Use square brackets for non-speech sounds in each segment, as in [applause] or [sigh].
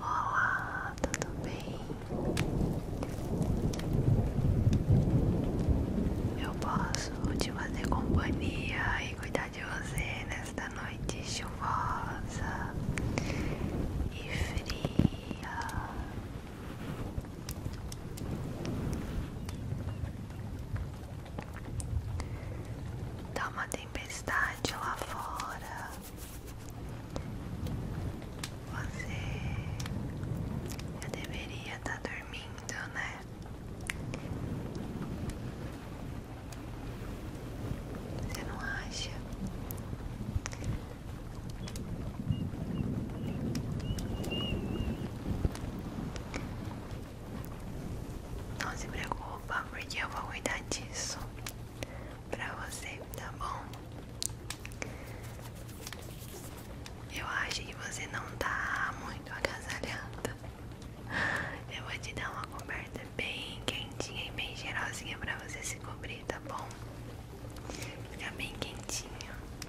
Olá, tudo bem? Eu posso te fazer companhia e cuidar de você nesta noite chuvosa e fria. Tá uma tempestade lá fora. Você já deveria estar tá dormindo, né? Você não acha? Não se preocupa, porque eu vou cuidar disso pra você, tá bom? Eu acho que você não tá muito agasalhada. Eu vou te dar uma coberta bem quentinha e bem cheirosinha pra você se cobrir, tá bom? Fica bem quentinha.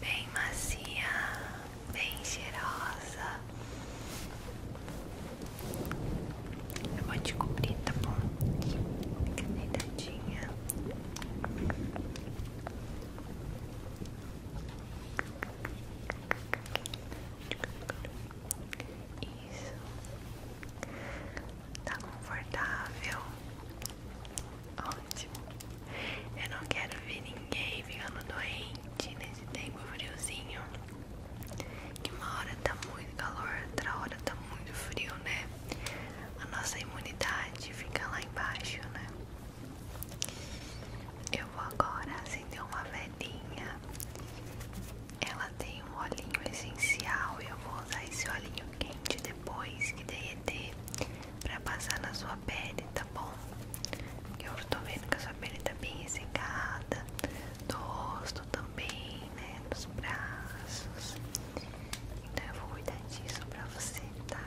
bem macia, bem cheirosa. Eu vou te cobrir, tá bom? Fica Isso. Tá confortável. Ótimo. Eu não quero ver ninguém ficando doente nesse tempo friozinho. Que uma hora tá muito calor, outra hora tá muito frio, né? A nossa imunidade fica lá embaixo, né? Eu vou agora acender uma velhinha. Ela tem um olhinho essencial e eu vou usar esse olhinho quente depois que derreter pra passar na sua pele, tá bom? Eu tô vendo que a sua pele tá bem ressecada, do rosto também, né? nos braços. Então eu vou cuidar disso pra você, tá? Tá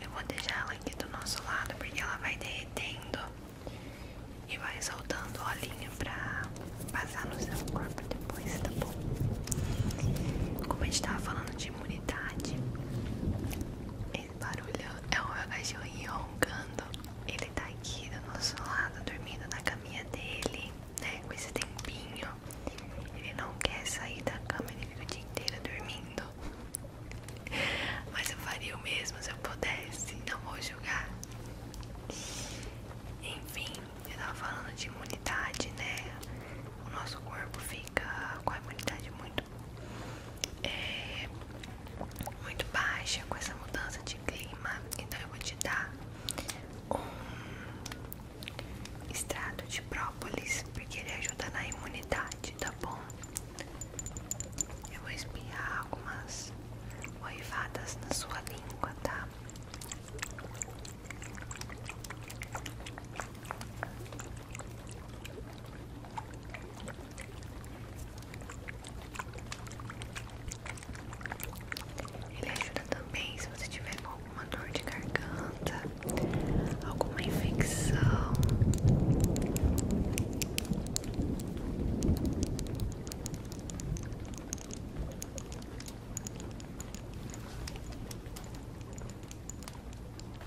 Eu vou deixar ela aqui do nosso lado porque ela vai derretendo e vai soltando olhinho pra passar no seu corpo depois, tá bom? Como a gente tava falando de imunidade, esse barulho é o meu cachorrinho roncando. Ele tá aqui do nosso lado, dormindo na caminha dele, né? Com esse tempinho. Ele não quer sair da cama, ele fica o dia inteiro dormindo. [laughs] Mas eu faria o mesmo se eu pudesse, não vou julgar. Enfim, eu tava falando de imunidade, né? O nosso corpo fica com a imunidade muito é, muito, baixa com essa mudança de clima. Então eu vou te dar um extrato de própolis, porque ele ajuda na imunidade, tá bom? Eu vou espirrar algumas oivadas na sua língua, tá? Ele ajuda também se você tiver alguma dor de garganta, alguma infecção.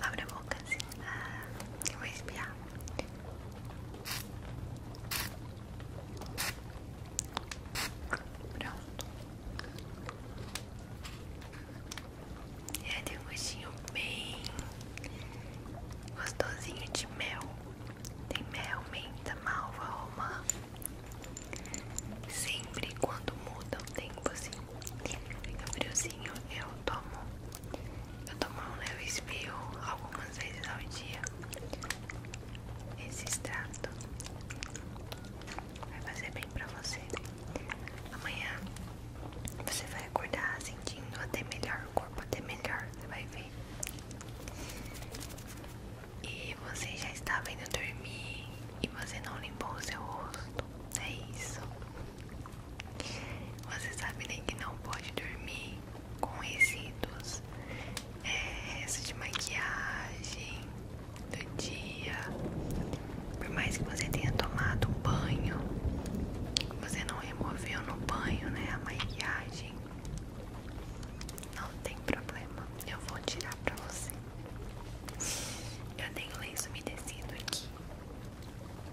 Abre a boca assim. Ah, eu vou espiar. Pronto. É tem um gostinho bem gostosinho de mel. Tem mel, menta, malva, romã. Sempre quando muda o tempo assim, fica friozinho, eu tomo eu tomo um leve espirro algumas vezes ao dia. Esse extrato vai fazer bem pra você. Amanhã você vai acordar sentindo até melhor, o corpo até melhor, você vai ver. E você já estava indo dormir e você não limpou o seu rosto. É isso. Vocês sabem né, que não pode dormir com resíduos, é, resto de maquiagem do dia. Por mais que você tenha tomado um banho, você não removeu no banho, né? A maquiagem. Não tem problema, eu vou tirar pra você. Eu tenho lenço umedecido aqui.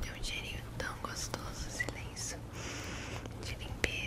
Tem um cheirinho tão gostoso silêncio, de limpeza.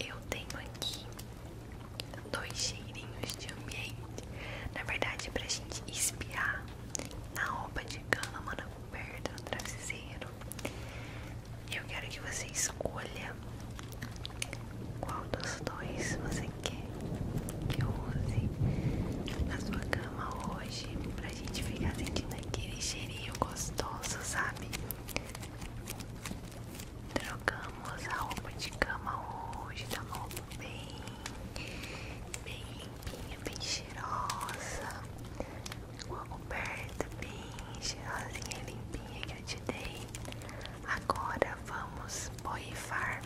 Eu tenho aqui dois cheirinhos de ambiente, na verdade, para a gente espiar na roupa de cama, na coberta, no travesseiro. Eu quero que você escolha qual dos dois você quer que eu use na sua cama hoje pra gente ficar sentindo aquele cheirinho gostoso, sabe? Trocamos a roupa de cama hoje, tá uma roupa bem, bem branquinha, é bem cheirosa, uma coberta bem cheirosinha e limpinha que eu te dei. Agora vamos boifar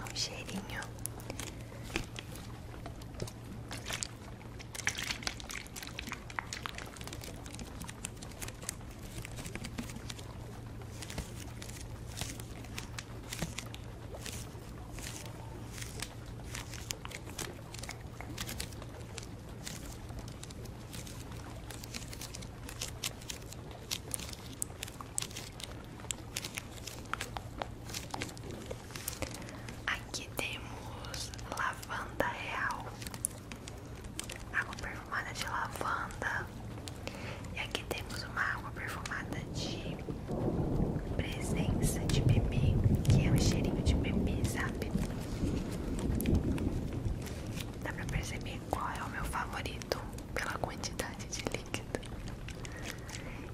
um cheirinho. Aqui temos lavanda real, água perfumada de lavanda e aqui temos uma água perfumada de presença de bebê, que é um cheirinho de bebê, sabe? Dá pra perceber qual é o meu favorito pela quantidade de líquido.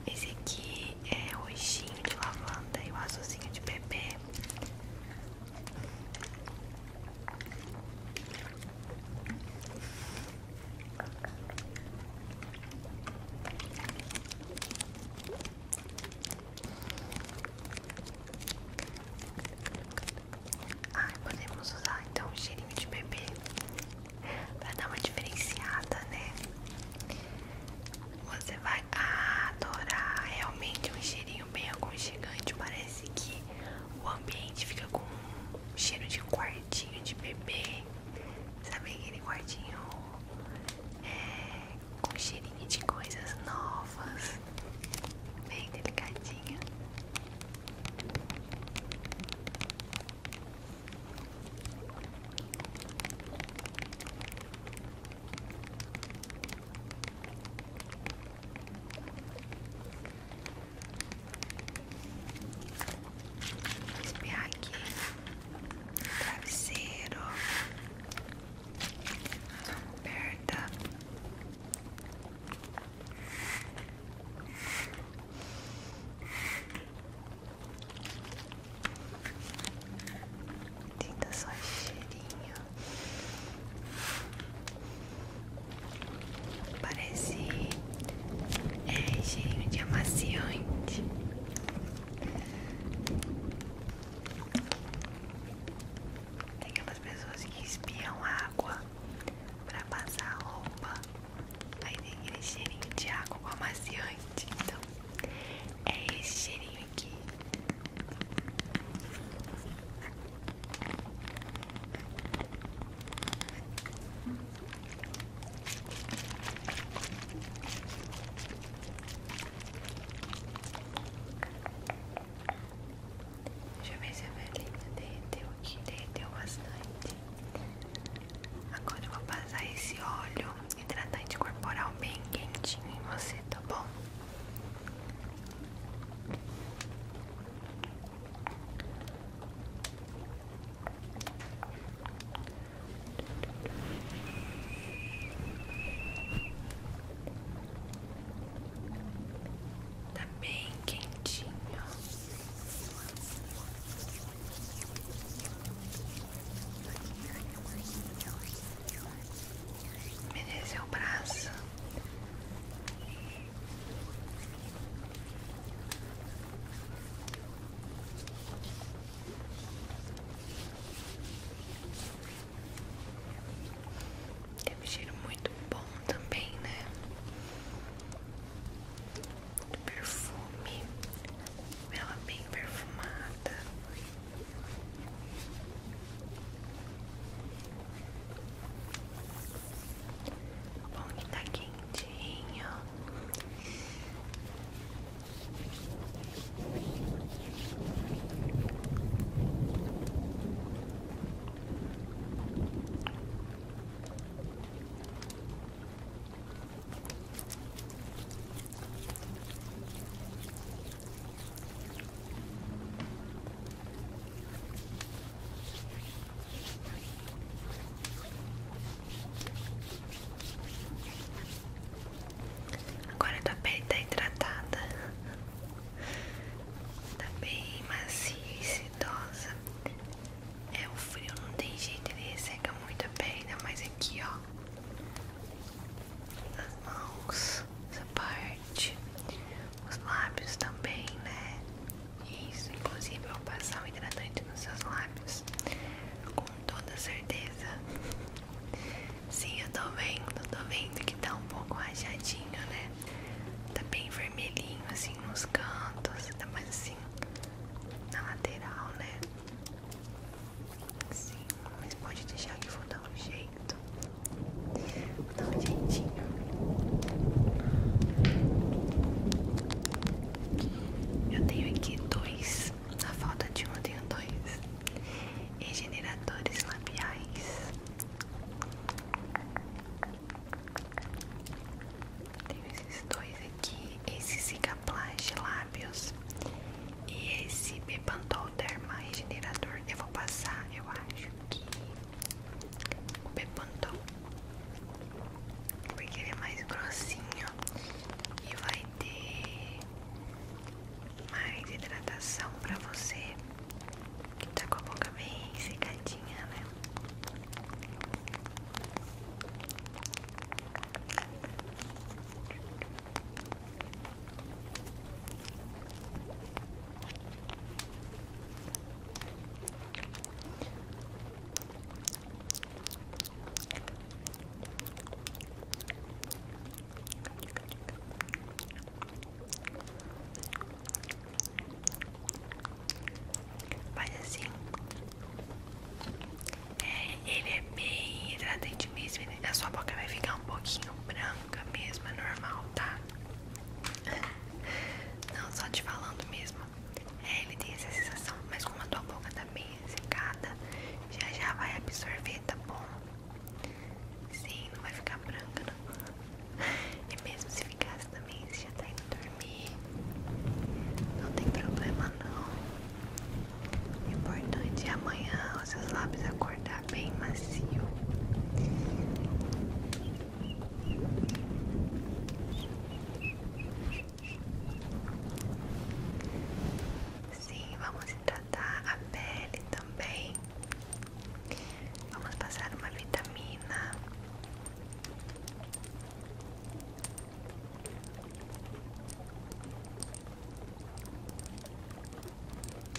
Esse aqui é o roxinho de lavanda e o azulzinho de bebê. Ai, podemos usar então um cheirinho de bebê para dar uma diferenciada, né? Você vai adorar realmente um cheirinho bem aconchegante. Parece que o ambiente fica com um cheiro de quartinho de bebê. Sabe aquele quartinho é, com cheirinho de coisas novas, bem delicadinho. Vou espiar aqui travesseiro perda Tenta só cheirinho Parece é cheio de amaciante. Tem aquelas pessoas que espiam água pra passar roupa. Aí tem aquele cheirinho de água com amaciante. Então, é esse cheirinho aqui. Deixa eu ver se a velhinha derreteu aqui, derreteu bastante. Agora eu vou passar esse óleo hidratante corporal bem quentinho em você, tá bom? Tá bem quentinho. Merece o braço. Teve um cheiro muito bom também, né? perfume, ela bem perfumada. Bom que tá quentinho. Agora a tua pele tá hidratada, tá bem macia e sedosa. É o frio, não tem jeito, ele resseca muito a pele, mas aqui, ó. As mãos, essa parte, os lábios também, né? Isso, inclusive ao é passar o hidratante nos seus lábios. Com toda certeza. Sim, eu tô vendo, tô vendo que tá um pouco rajadinho, né? Tá bem vermelhinho, assim, nos cantos, tá mais assim, na lateral, né? Sim, mas pode deixar que eu vou dar um jeito pouco, dá tá um jeitinho. Eu tenho aqui dois, na falta de um tenho dois regeneradores labiais. Tenho esses dois aqui, esse Cicaplast lábios e esse Bepantol Derma Regenerador. Eu vou passar, eu acho que o Bepantol, porque ele é mais grossinho e vai ter mais hidratação pra você que tá com a boca bem secadinha, né? Mas assim, é, ele é bem hidratante mesmo. A sua boca vai ficar um pouquinho branca mesmo, é normal, tá? Não, só te falando mesmo. É, ele tem essa sensação, mas como a tua boca tá bem secada, já já vai absorver, tá bom? Sim, não vai ficar branca, não. E mesmo se ficasse também, você já tá indo dormir. Não tem problema, não. O importante é amanhã os seus lábios acordar bem macio. Sim, vamos tratar a pele também. Vamos passar uma vitamina.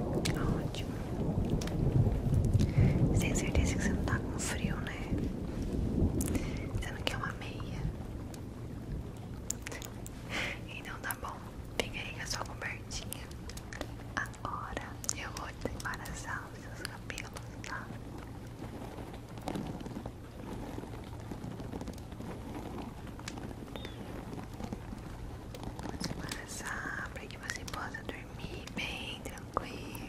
Ótimo. Você tem certeza que você não tá com frio, né? Você não quer uma meia? Então tá bom. Fica aí com a sua cobertinha. Agora eu vou desembaraçar os seus cabelos, Tá Vamos passar para que você possa dormir bem tranquila.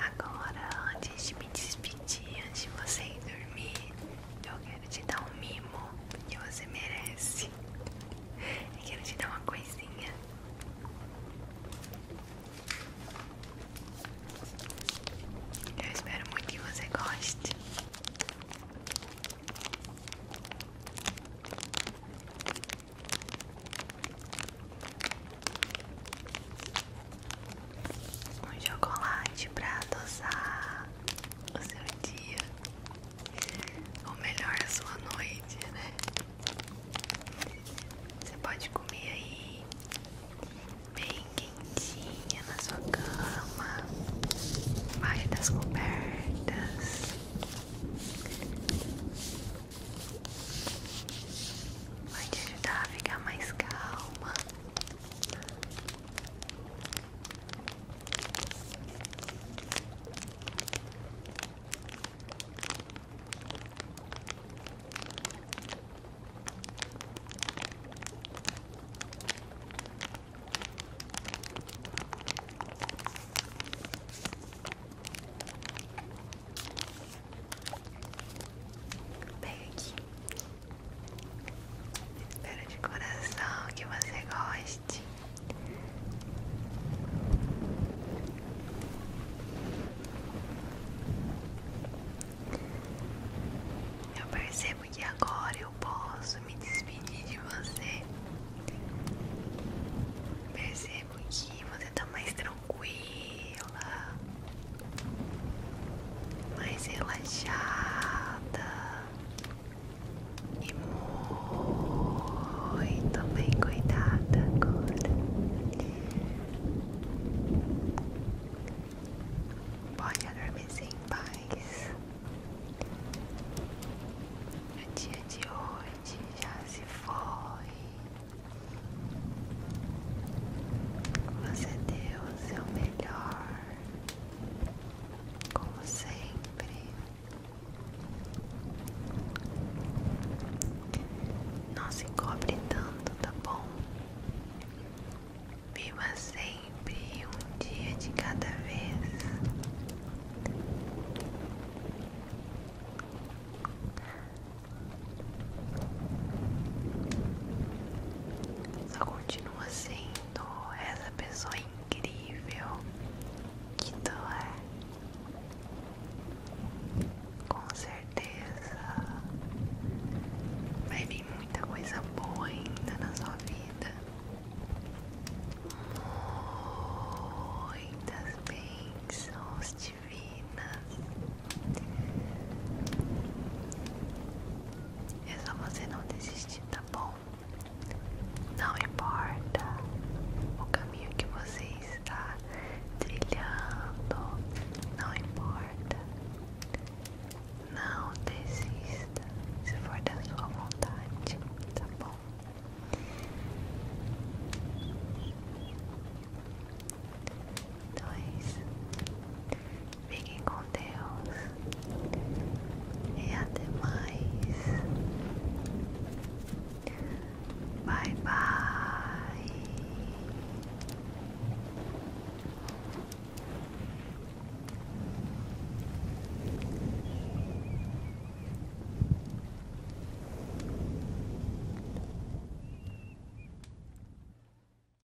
Agora, antes de me despedir, antes de você ir dormir, eu quero te dar um mimo que você merece. quero te dar uma coisinha. Eu espero muito que você goste. Um chocolate pra adoçar o seu dia, ou melhor, a sua noite, né? Você pode comer aí bem quentinha na sua cama, embaixo das cobertas. Vai te ajudar a ficar mais calma, Pega aqui Espero de coração que você goste. Eu percebo que agora eu posso me despedir de você. Percebo que você está mais tranquila, mais relaxada e muito bem cuidada agora. Pode adormecer em paz. O é dia de hoje já se foi. Você deu o seu melhor como sempre, não se cobre tanto, tá bom? Viva sempre um dia de cada vez. Só continua assim essa pessoa é incrível que tu é. Com certeza vai vir muita coisa boa ainda na sua vida. Muitas bênçãos divinas. É só você não desistir, tá bom? Não importa o caminho que você está trilhando, não importa. Não desista se for da sua vontade, tá bom? Dois. Então é Fiquem com Deus e até mais. Bye bye.